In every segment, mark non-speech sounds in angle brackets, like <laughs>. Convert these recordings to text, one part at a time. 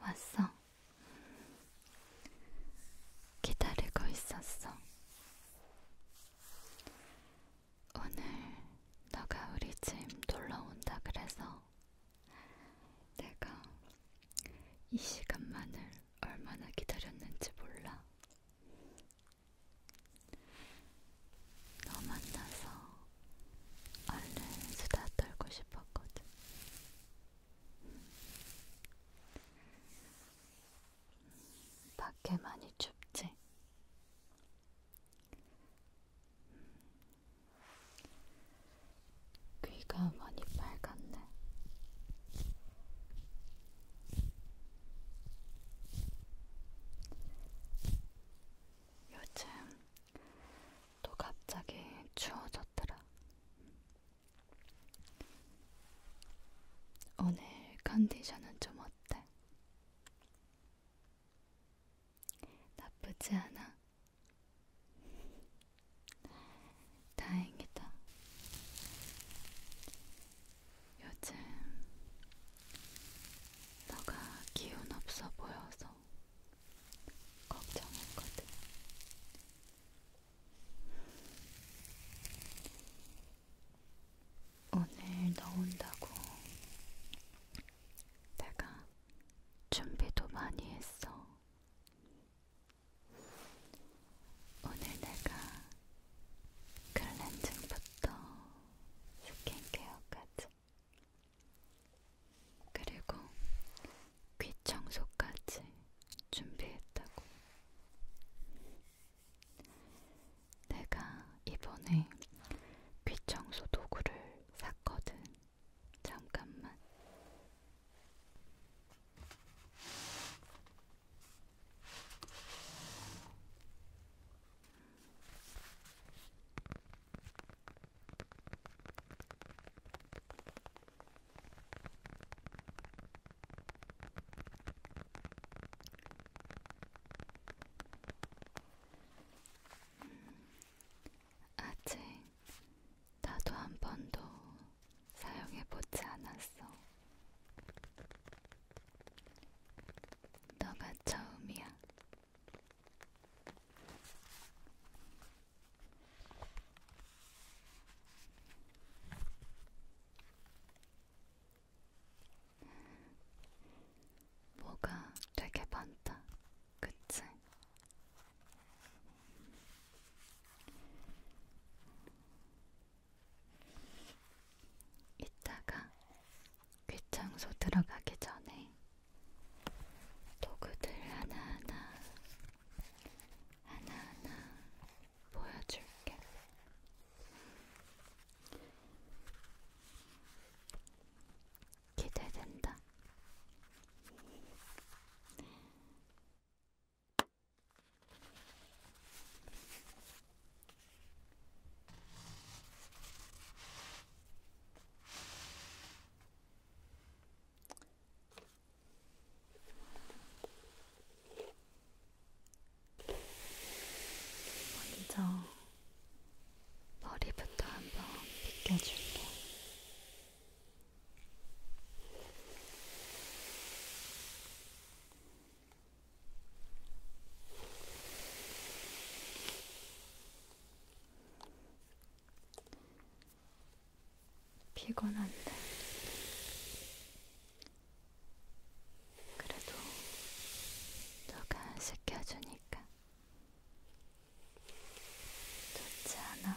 왔어. 기다리고 있었어. 오늘 너가 우리 집 놀러 온다 그래서 내가 이 시간만을 얼마나 기다렸는지 몰라. 너 만나서 얼른 수다 떨고 싶었거든. 밖에 많이 춥지? 귀가 많이 빨갛네. 요즘 또 갑자기 추워졌더라. 오늘 컨디션은 좀 어때? 나쁘지 않아? <laughs> 다행이다. 요즘 너가 기운 없어 보여서 걱정했거든. 오늘 너 온다고 내가 준비도 많이 했어. 오늘 내가 클렌징부터 스킨케어까지 그리고 귀 청소까지 준비했다고. 내가 이번에 귀 청소 도구를 샀거든. 잠깐만. 아직 나도 한 번도 사용해보지 않았어. 너가 처음이야. 뭐가 되게 많다, 그치? 이따가 귀청소 들어가기 전에 도구들 하나하나 하나하나 보여줄게. 기대된다. 먼저 머리부터 한번 빗겨줄게. 피곤한데 그래도 너가 시켜주니까 좋지 않아?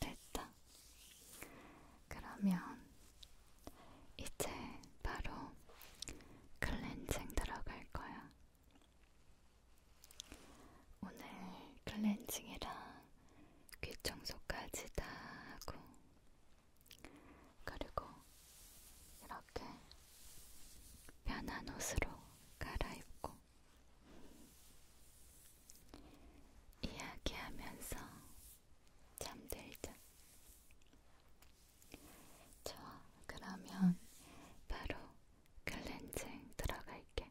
됐다. 그러면 이제 바로 클렌징 들어갈 거야. 오늘 클렌징이랑 귀 청소까지 다 하고 그리고 이렇게 편한 옷으로 갈아입고 이야기하면서 잠들자. 저 그러면 바로 클렌징 들어갈게.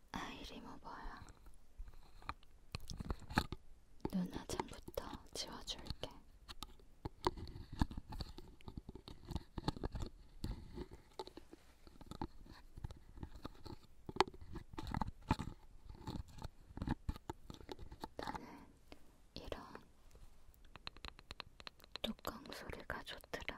아이 리무버야. 눈화장부터 지워줄게. 나는 이런 뚜껑 소리가 좋더라.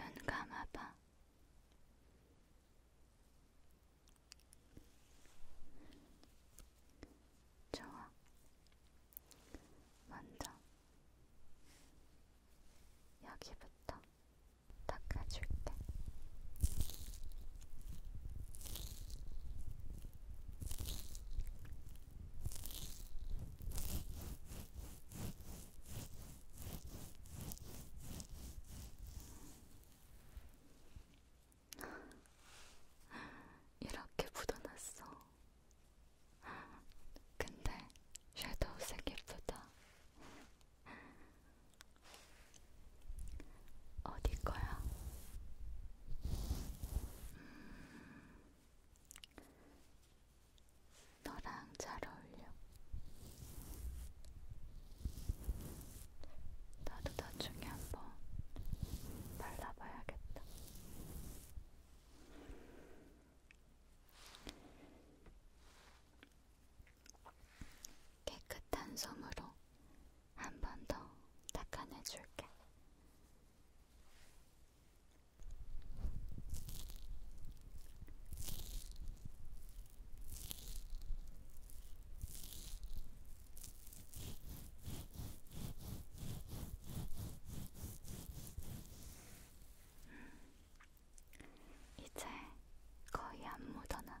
눈 감아봐. 좋아. 먼저 여기부터 닦아줄게. 이렇게 묻어놨어. 근데 섀도우색 예쁘다. 어디 거야? 음, 너랑 잘 어울려. 나도 나중에 한번 발라봐야겠다. 깨끗한 솜으로 한 번 더 닦아내줄게. 음, 이제 거의 안 묻어나.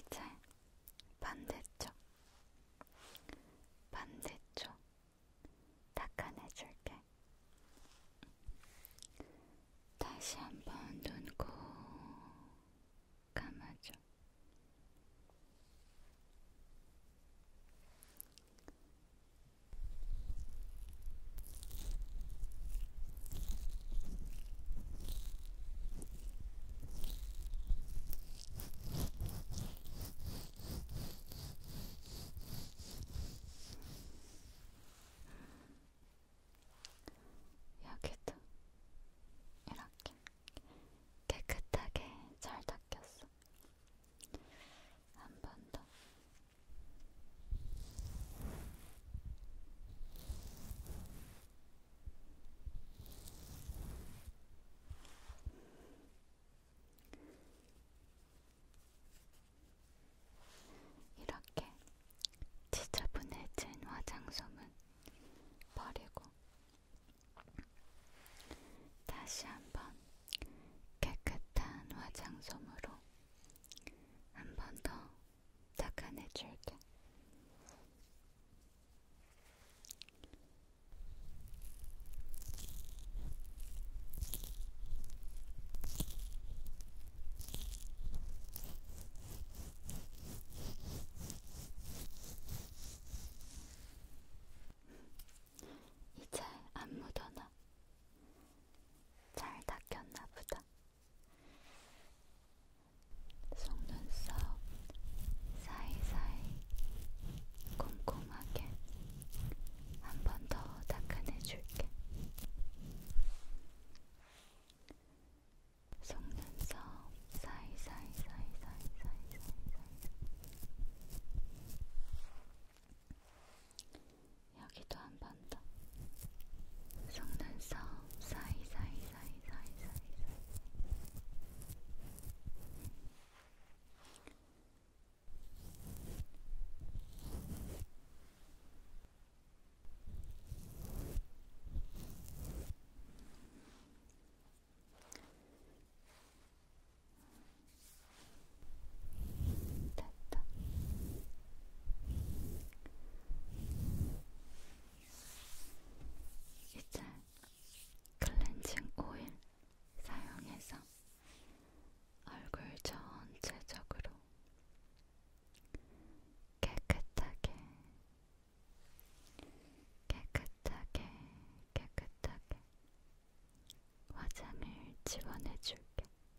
이제 반대쪽, 반대쪽 닦아내줄게. 다시 한번 눈꼭 감아줘. 여기도 이렇게 깨끗하게 잘 닦였어. 한번더 이렇게 지저분해진 화장솜은 버리고 다시 한번 깨끗한 화장솜으로 한번더 닦아내줄게. 이제 안 묻어나. 잘 닦였나 보다. 속눈썹 사이사이 꼼꼼하게 한 번 더 닦아내줄게. 속눈썹 사이사이 사이사이 사이사이 사이사이 여기도 한 번 더 속눈썹 사이사이사이사이사이사이 됐다. 이제 클렌징 오일 사용해서 얼굴 전체적으로 깨끗하게 깨끗하게 깨끗하게 화장을 지원해줄게.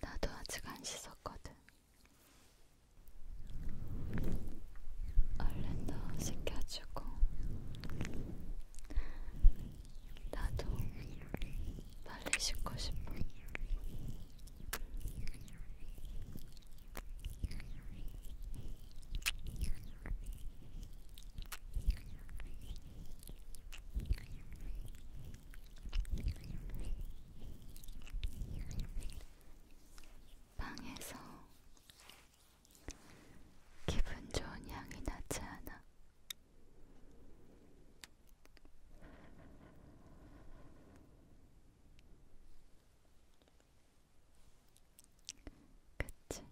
나도 아직 안 씻었거든. 얼른 더 씻겨주고. 나도 빨리 씻고 싶어. 방에서 기분 좋은 향이 나지 않아. 그치?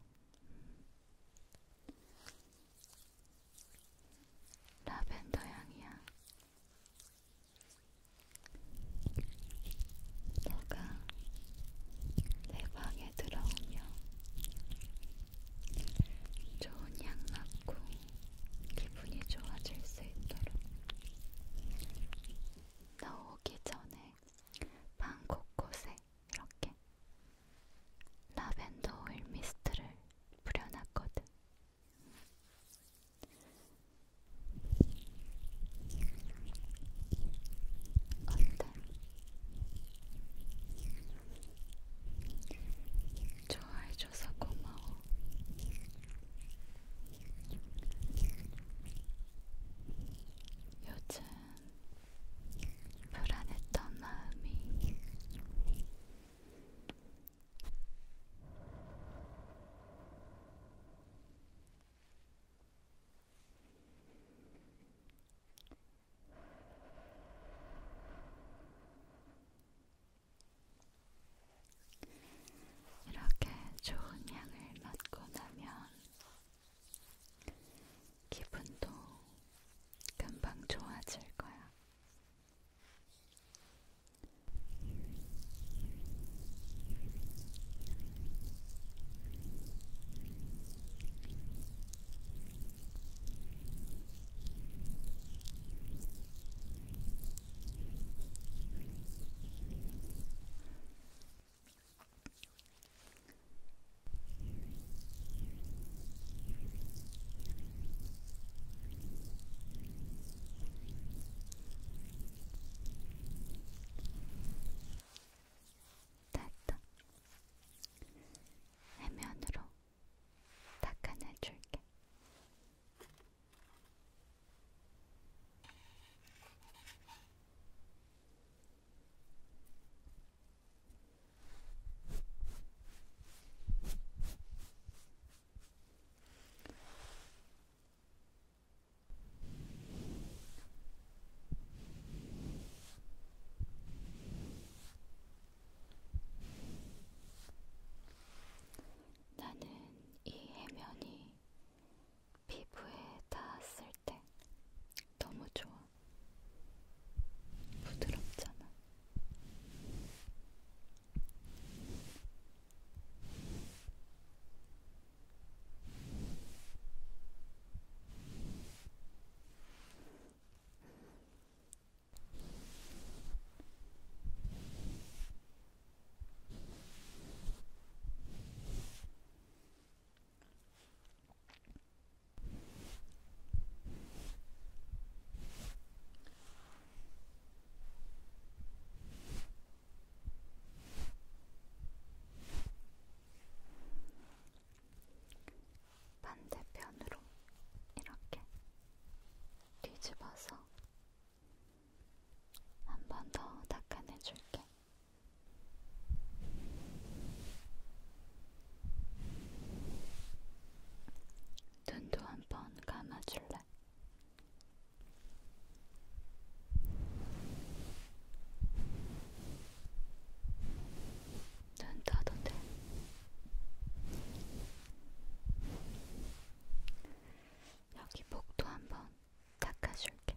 라벤더 향이야. 너가 내 방에 들어오며 좋은 향 맡고 기분이 좋아질 수 있도록 너 오기 전에 방 곳곳에 이렇게 라벤더 오일 미스트를 뿌려놨거든. 어때? 좋아해줘서 고마워. 요즘 불안했던 마음이 이렇게 좋은 향을 맡고 나면 기분도 금방 좋아질 거야. 됐다. 해면으로 닦아내줄게. 나는 이 해면이 피부에 닿았을 때 너무 좋아. 부드럽잖아. 반대편으로 이렇게 뒤집어서 한 번 더 닦아내줄게. 눈도 한 번 감아줄래? 눈 떠도 돼. 여기 목도 한 번 닦아줄게.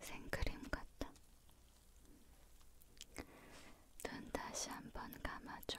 생크림 같다. 눈 다시 한번 감아줘.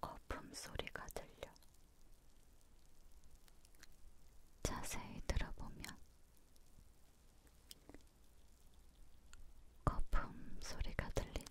거품 소리가 들려. 자세히 들어보면 거품 소리가 들리지.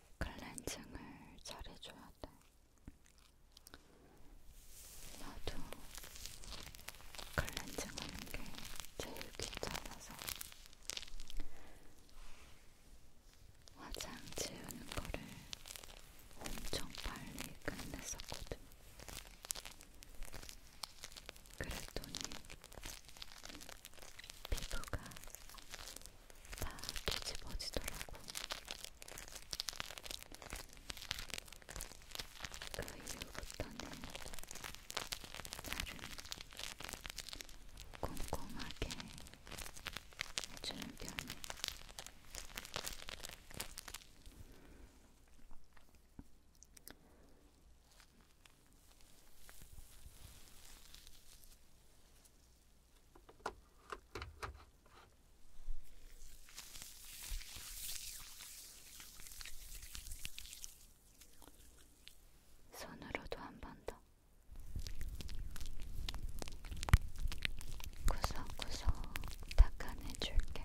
클렌징을 잘 해줘야 돼. 나도 클렌징 하는 게 제일 귀찮아서 화장 지우는 거를 엄청 빨리 끝냈었거든. 그랬더니 피부가 다 뒤집어지더라고. 그 이후부터는 나름 꼼꼼하게 해주는 편이 손으로도 한 번 더. 구석구석 닦아내줄게.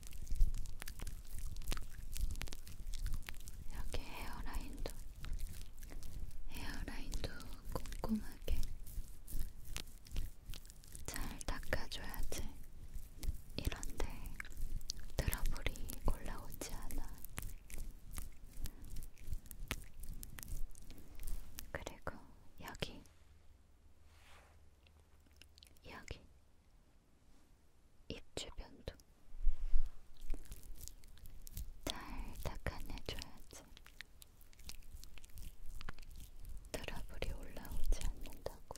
이렇게 헤어라인도 헤어라인도 꼼꼼하게 잘 닦아줘야지 이런데 트러블이 올라오지 않아. 그리고 여기, 여기, 입 주변도 달닦아내줘야지. 트러블이 올라오지 않는다고.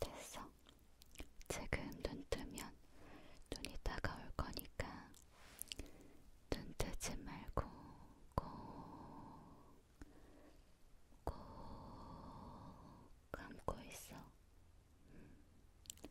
됐어. 지금 눈 뜨면 눈이 따가울 거니까 눈 뜨지 말고 꼭 꼭 감고 있어. 음. 음.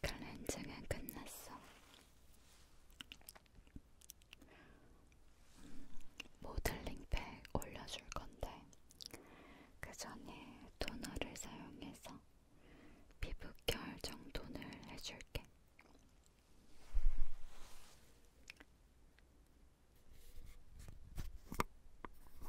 클렌징은 끝났어. 음, 모델링팩 올려줄 건데 그 전에 토너를 사용해서 피부 결 정돈을 해줄게. 음,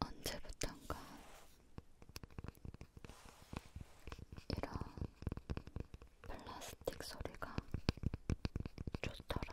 언제부턴가 이런 플라스틱 소리가 좋더라.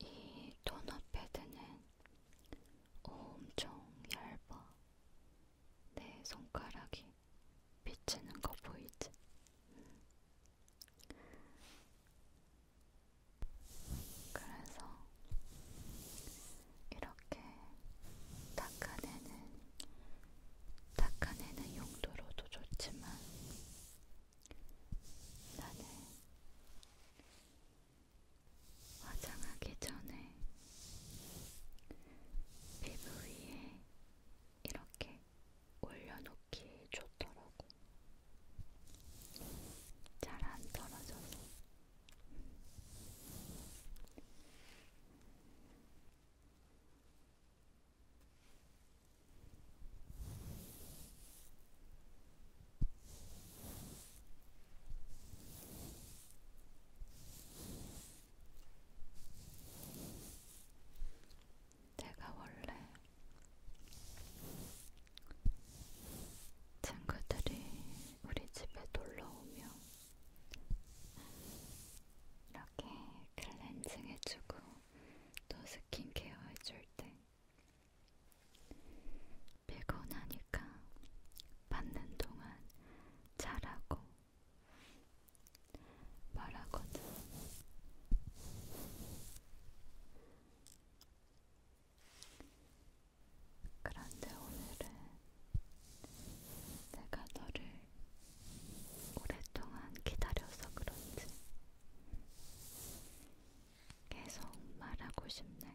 이 토너 패드는 엄청 얇아. 내 손가락이 비치는 거 보이지? 그래서 이렇게 닦아내는 닦아내는 용도로도 좋지만 나는 화장하기 전에 피부 위에 이렇게 올려놓기 좋더라고. 잘 안 떨어져서. 내가 원래 친구들이 우리 집에 놀러 오면 이렇게 클렌징 해주고 또 스킨케어 해줄 때 피곤하니까 받는 동안 잘하고 말하거든. 그런데 오늘은 내가 너를 오랫동안 기다려서 그런지 계속 말하고 싶네.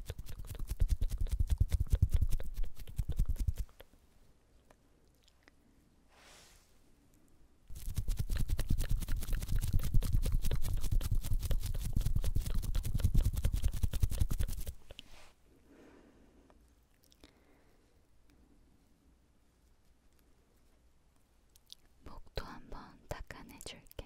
목도 한번 닦아내 줄게.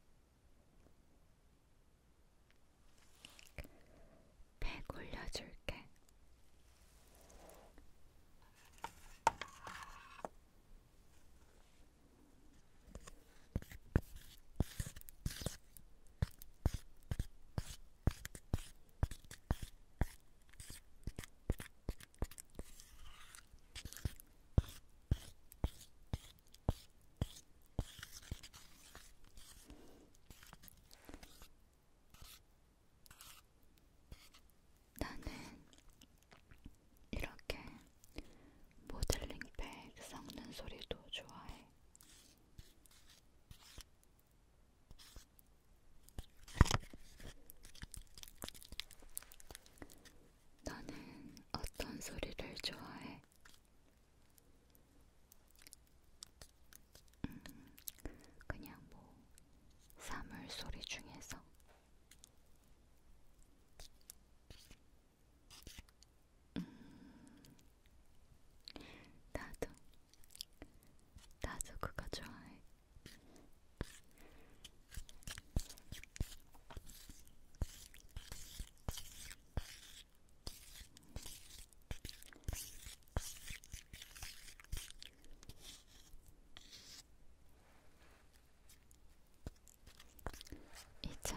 배 굴려줄게. 나는 이렇게 모델링팩 섞는 소리도 좋아해. 나는 어떤 소리를 좋아해? 음, 그냥 뭐 사물 소리 중에서 음, 나도 나도 그거 좋아해. 이제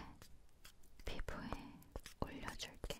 피부에 올려줄게.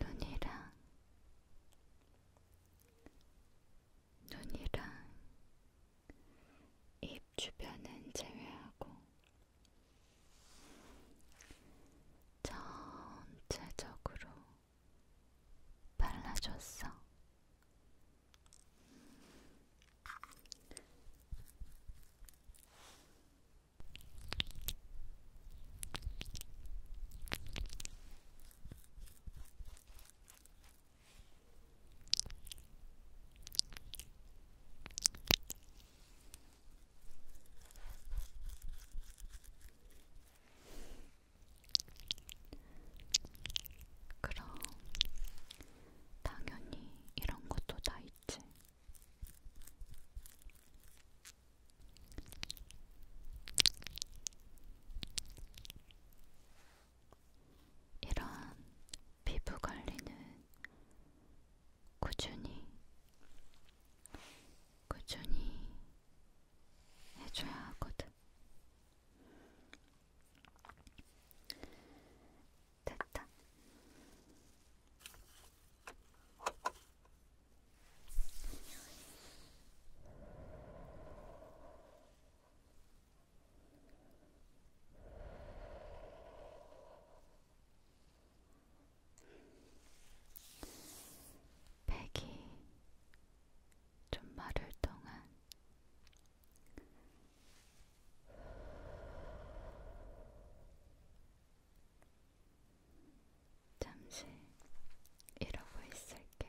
눈이랑 눈이랑 입 주변은 제외하고 전체적으로 발라줬어. 그럼 당연히 이런 것도 다 있지. 이런 피부 관리는 꾸준히, 꾸준히 해줘야 하거든. 됐다. 백이 좀 마를 동안 잠시 이러고 있을게.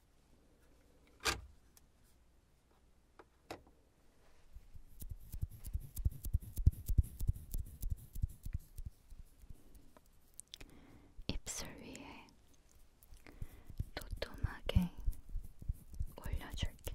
입술 위에 도톰하게 올려줄게.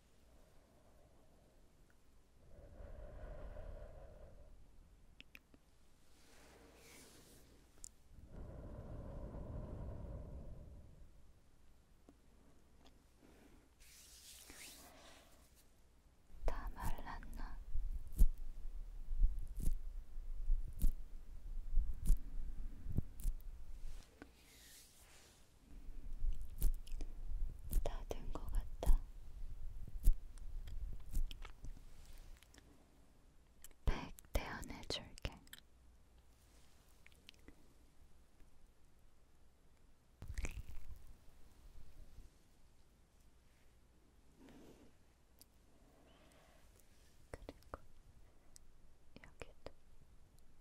다 말랐나? 다된것 같다. 100 대안해줄게. 그리고 여기도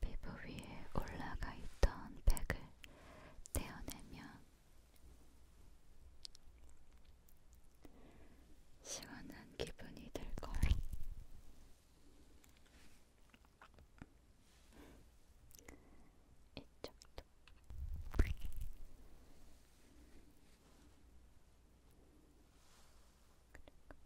피부 위에 올라가 있던 백을 떼어내면 시원한 기분이 들 거예요. 이쪽도. 그리고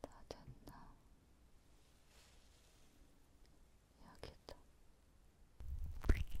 다 됐나? 여기다. 여기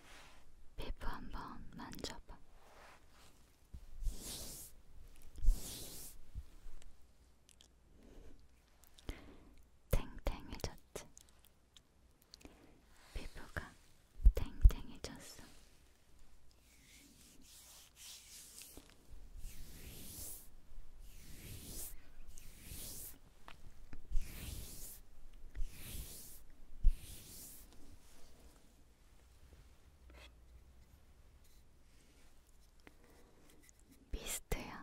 피부 한번 만져봐. 탱탱해졌지? 피부가 탱탱해졌어. 미스트야.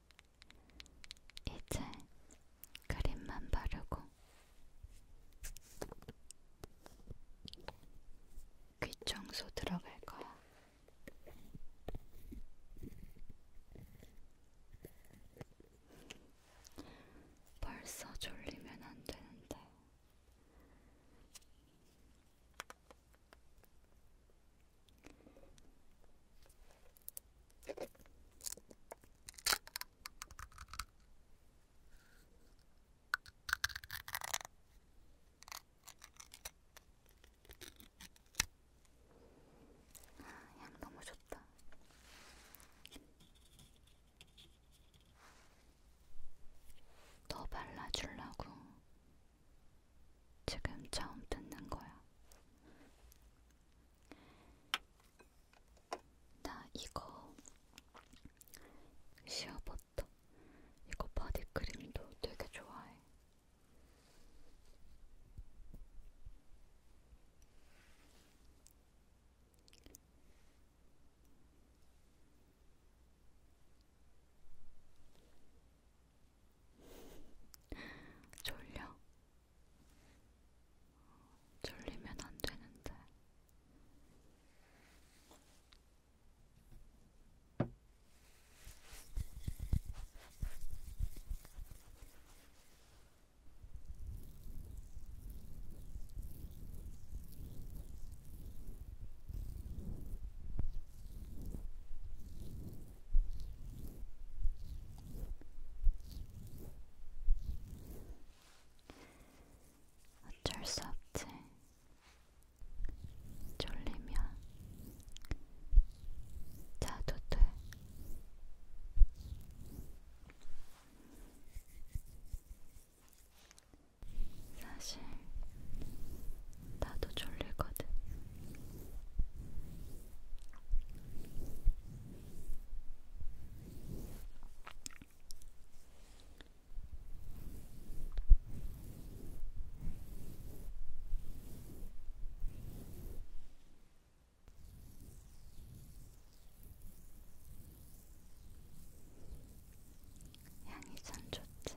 이제 그림만 바르고 귀 청소 들어갈 거야. 벌써 졸리면 안 되는데. 아, 향 너무 좋다. 더 발라주려고 지금 처음 듣는 거야. 나 이거 시어버터 이거 바디크림도 되게 좋아해. 졸려. 졸리면 안 되는데. 어쩔 수 없지. 졸리면 자도 돼. 사실 나도 졸리거든. 향이 참 좋지.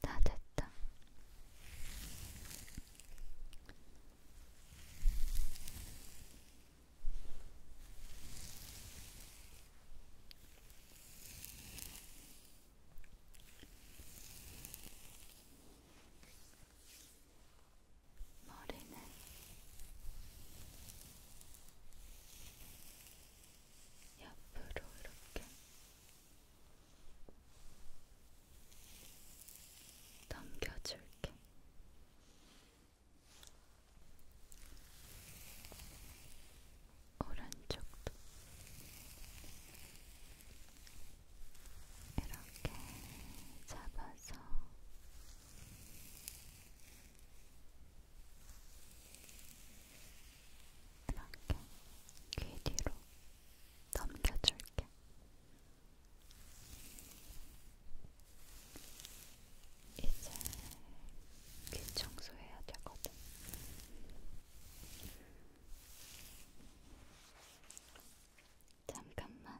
다 됐다. 머리는 옆으로 이렇게 넘겨줄게. 오른쪽도 이렇게 잡아서 이렇게 귀 뒤로 넘겨줄게. 이제 귀 청소해야 되거든. 잠깐만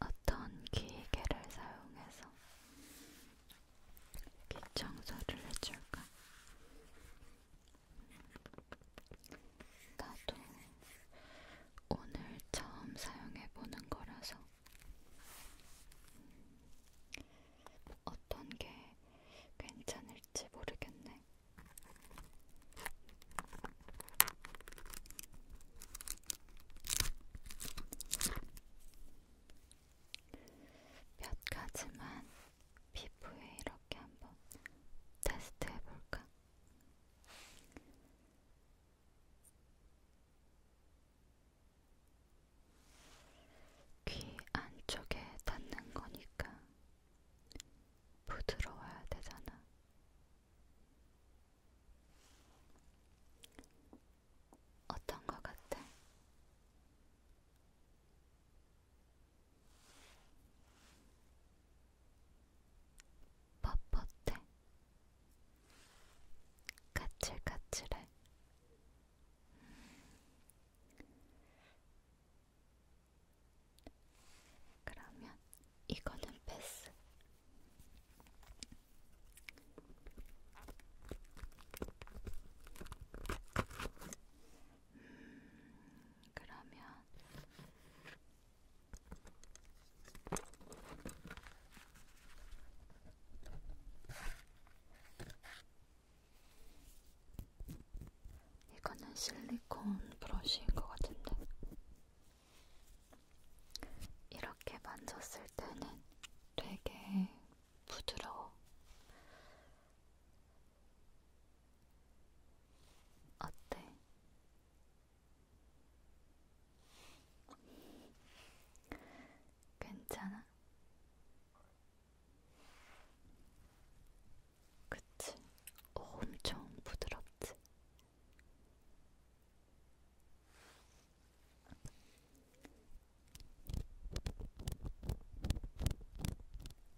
어떤 기계를 사용해서 귀 청소를 해줄까? 나도 오늘 처음 사용해보는 거라서 어떤 게 괜찮을지 모르겠네. 몇 가지만 피부에 이렇게 한번 테스트 해볼까? 귀 안쪽에 닿는 거니까 부드러워야 되잖아. 어떤 것 같아? 뻣뻣해, 까칠까칠해. 음. 그러면 이거는 패스. 음, 그러면 이거는 실리콘 브러쉬인 것 같은데 이렇게 만졌을 때는 되게 부드러워. 어때? 괜찮아? 그치? 엄청 부드럽지?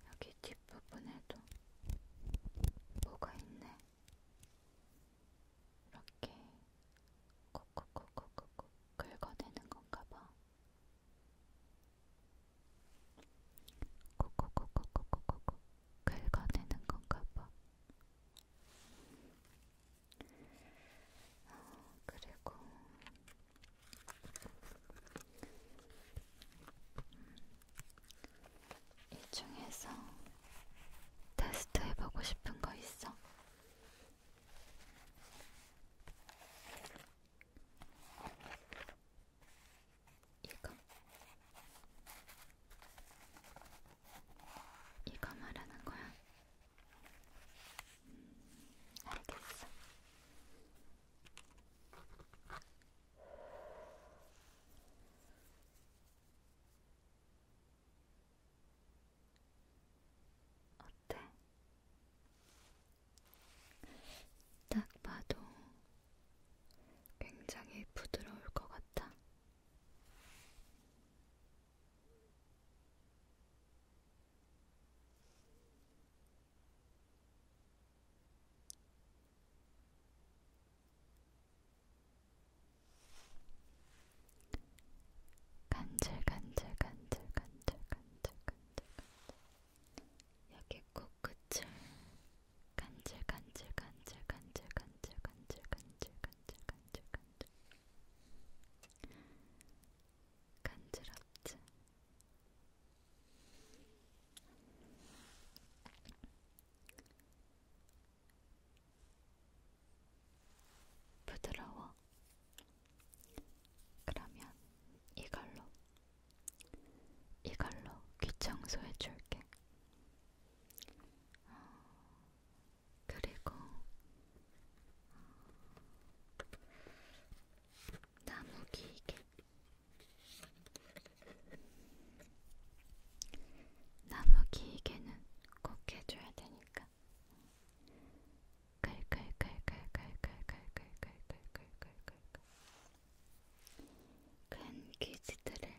여기 뒷부분에도 뭐가 있네. 이렇게 콕콕콕콕콕콕 긁어내는 건가 봐. 콕콕콕콕콕콕콕 긁어내는 건가 봐. 어, 그리고 음, 이 중에서 테스트 해보고 싶은 거 있어? 이거 이거 말하는 거야? 음, 알겠어. 어때? 딱 봐도 굉장히 부드러울 것 같아. 같아. 간질간질간질간질간질간질간질 여기 코끝을 간질 간질 간질 간질 간질 간질 간질 간질 간질 간질 간지럽지? 부드러워. 그러면 이걸로, 이걸로 귀청소해 줄게. 그리고 나무 기계 나무 기계는 꼭 해줘야 되니까 글글글글글글글글글글글글글 큰 퀴즈들을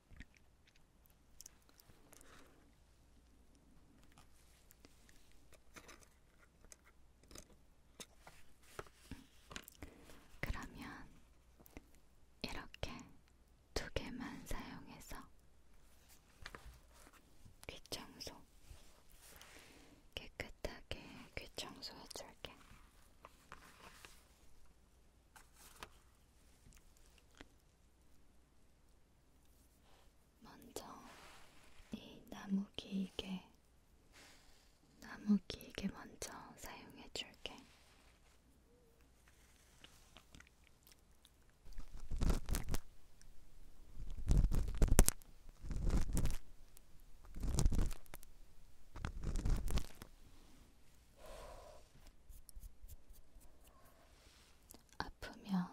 그러면 이렇게 두 개만 사용해서 귀 청소 깨끗하게 귀 청소해줄게. 먼저 이 나무 기계, 나무 기계 먼저 사용해 줄게. 아프면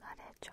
말해줘.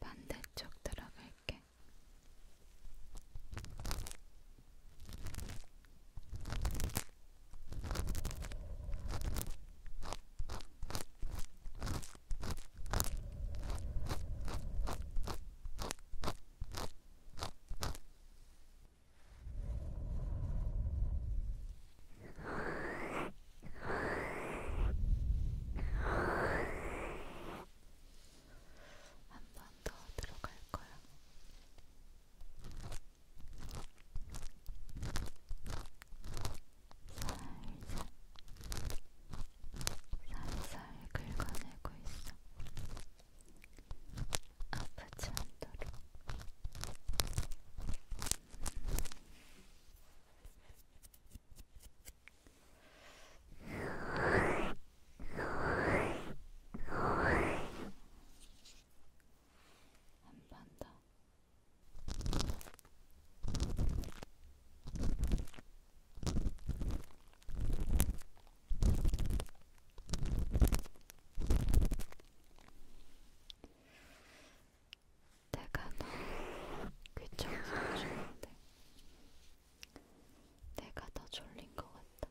반대쪽 들어갈게. 한번더 들어갈 거야. 음. 살살 살살 긁어내고 있어. 아프지 않도록. 한 번 더. 내가 너무 귀찮아서 좋은데 내가 더 졸린 것 같다.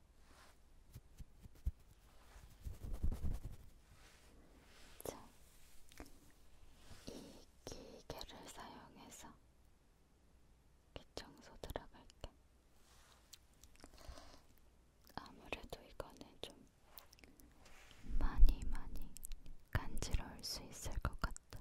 자, 이 기계를 사용해서 기청소 들어갈게. 아무래도 이거는 좀 많이 많이 간지러울 수 있을 것 같다.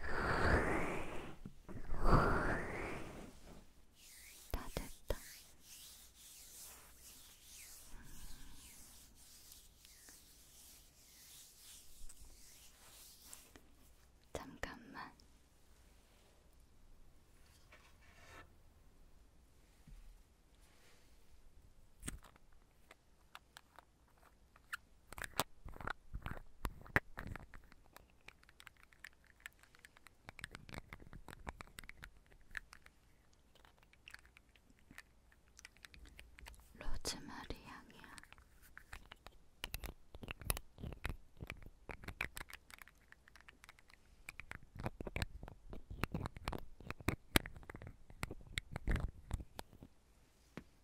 다 됐다. 잠깐만. 로즈마리 향이야.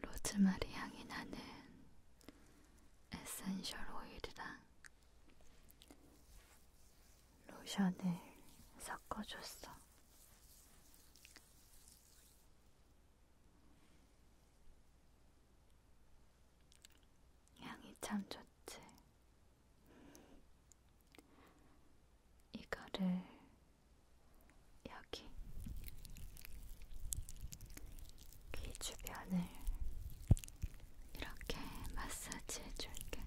로즈마리 향이 나는 에센셜 오일이랑 로션을 섞어줬어. 향이 참 좋지. 이거를 여기 귀 주변을 이렇게 마사지 해줄게.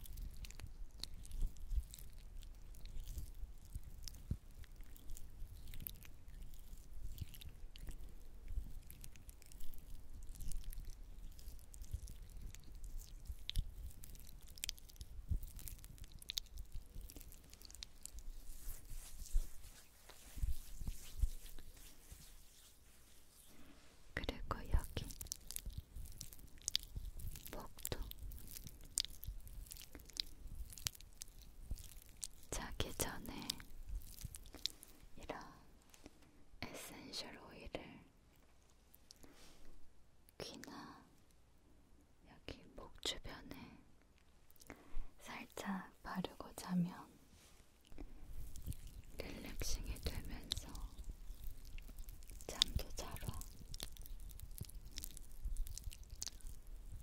그리고 여기 목도 자기 전에 이런 에센셜 오일을 귀나 여기 목 주변에 살짝 바르고 자면 릴렉싱이 되면서 잠도 잘 와.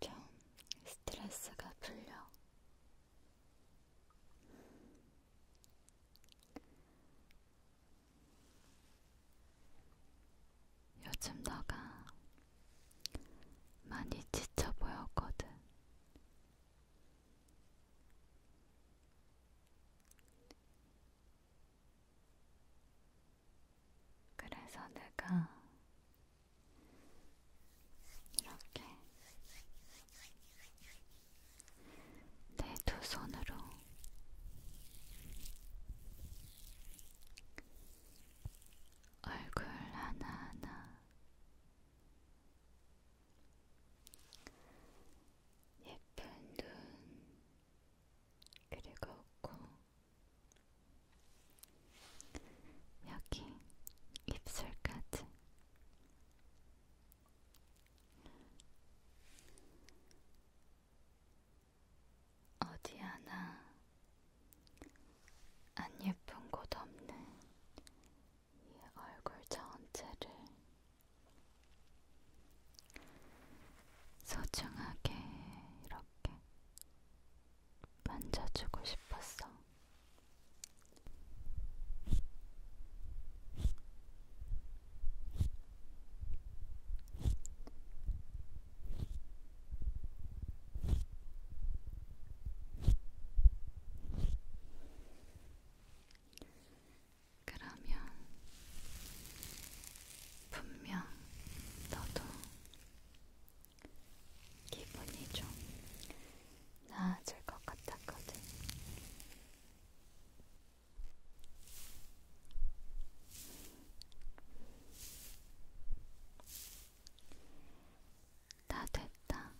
좀 스트레스가 풀려. 요즘 너가 많이 지쳐 보였거든. 그래서 내가 이렇게 내 두 손으로 얼굴 하나하나 예쁜 눈 그리고 코 여기 입술까지 어디 하나 안 예쁜 곳 없는 이 얼굴 전체를 소중하게 이렇게 만져주고 싶었어. 그러면 분명 너도 기분이 좀 나아질 것 같았거든. 다 됐다.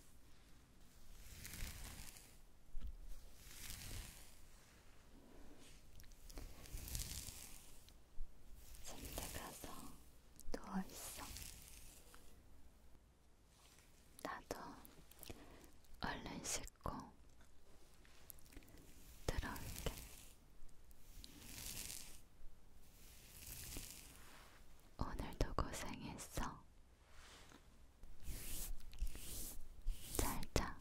침대 가서 누워있어. 나도 얼른 씻고 들어올게. 오늘도 고생했어. 잘 자.